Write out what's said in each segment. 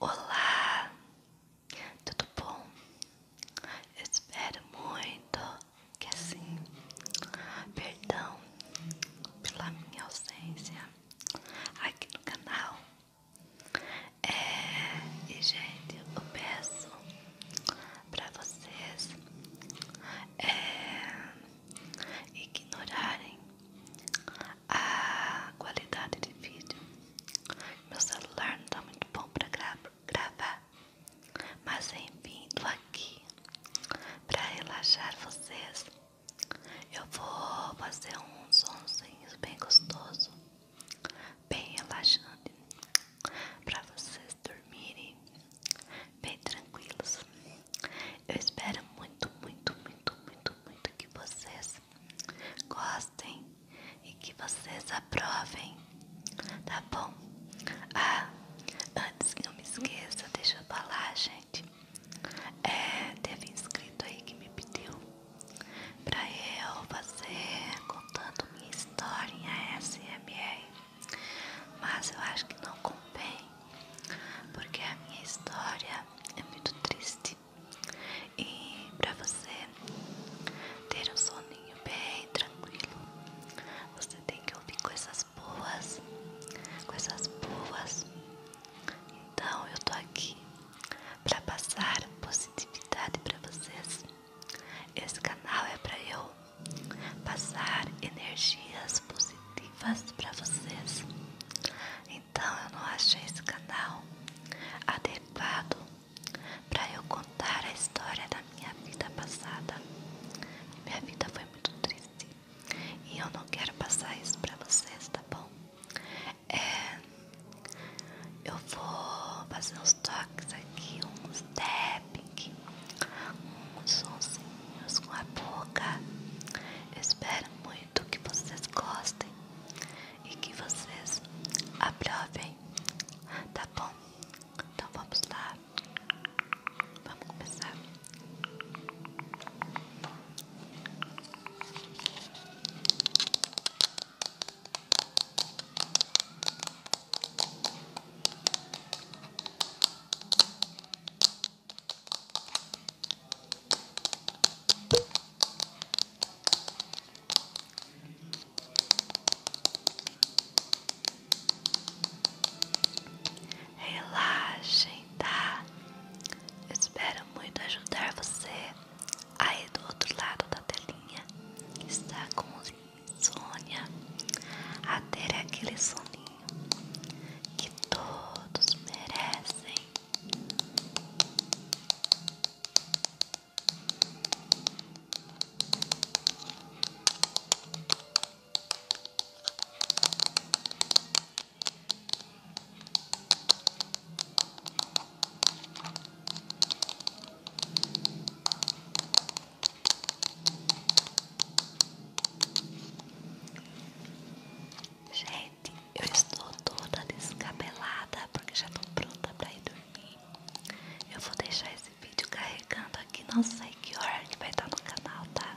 Olá, tudo bom? espero muito que sim. perdão pela minha ausência aqui no canal. É, e gente, eu peço para vocês é, ignorarem a qualidade de vídeo. Meu celular não tá muito bom para gravar, mas enfim, vindo aqui para relaxar vocês. Eu vou fazer um somzinho bem gostoso, bem relaxante, para vocês dormirem bem tranquilos. Eu espero muito, muito, muito, muito, muito que vocês gostem e que vocês aprovem, tá bom? Ah, antes que eu me esqueça, deixa eu falar, gente. É, teve inscrito aí que me pediu pra eu fazer contando minha história em ASMR, mas eu acho que não compém porque a minha história é muito triste e para você ter um soninho bem tranquilo, você tem que ouvir coisas boas, coisas boas. Então eu estou aqui para passar positividade para vocês. Esse canal é para eu passar energias positivas para vocês. Então eu não achei esse canal adequado para eu contar a história da minha vida passada. Minha vida foi muito triste e eu não quero passar isso para vocês, tá bom? É, eu vou fazer uns toques aqui, uns tapping, uns sonsinhos com a boca. Eu muito que vocês gostem e que vocês aprovem, tá bom? Então vamos lá, vamos começar. Relaxem, tá? espero muito ajudar você aí do outro lado da telinha que está com insônia a ter aquele soninho que todos merecem. Gente, eu estou toda descabelada porque já estou pronta para ir dormir. Eu vou deixar esse vídeo carregando aqui, não sei que hora que vai estar no canal, tá?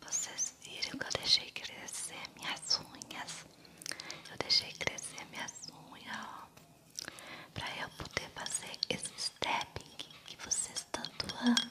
Vocês viram que eu deixei crescer minhas unhas? Eu deixei crescer minhas unhas, ó, pra eu poder fazer esse stepping que vocês tanto amam.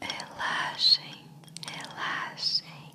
Relaxem, relaxem.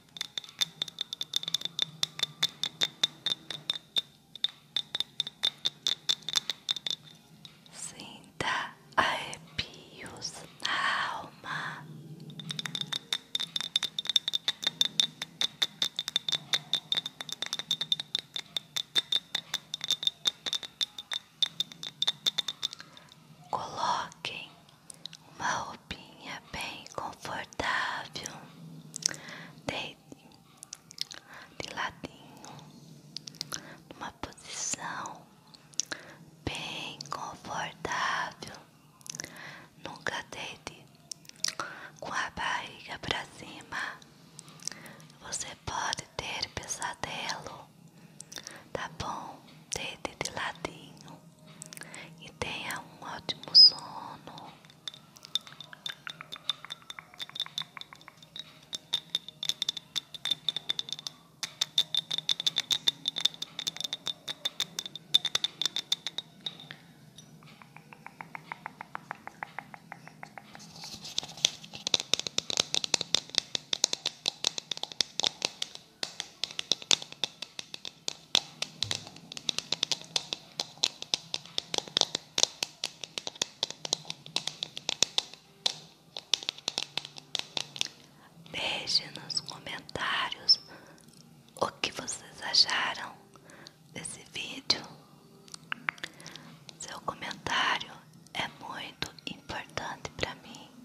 Sinta arrepios na alma. Coloquem uma roupinha bem confortável, deite de ladinho, numa posição bem confortável, nunca deite com a barriga para cima, você pode ter pesadelo, tá bom? Deite de ladinho e tenha um ótimo sono. Deixe nos comentários o que vocês acharam desse vídeo. Seu comentário é muito importante para mim.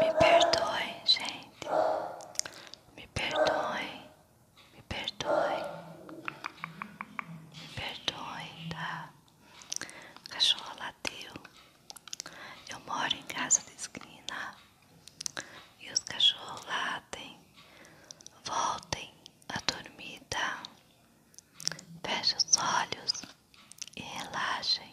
Me perdoe, gente. Me perdoe. Me perdoe. Me perdoe, tá? O cachorro lateu. Eu moro em casa da esquina e os cachorros latem. Voltem à dormida. Feche os olhos e relaxem.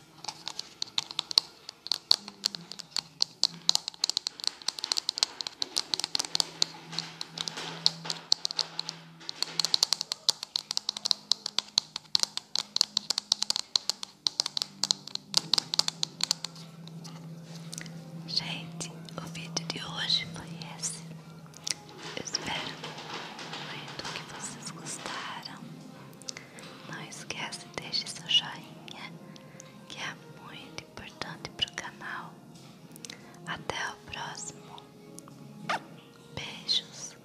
Gente, o vídeo de hoje foi esse. Eu espero muito que vocês gostaram. Não esquece, deixe seu joinha, que é muito importante para o canal. Até o próximo. Beijos.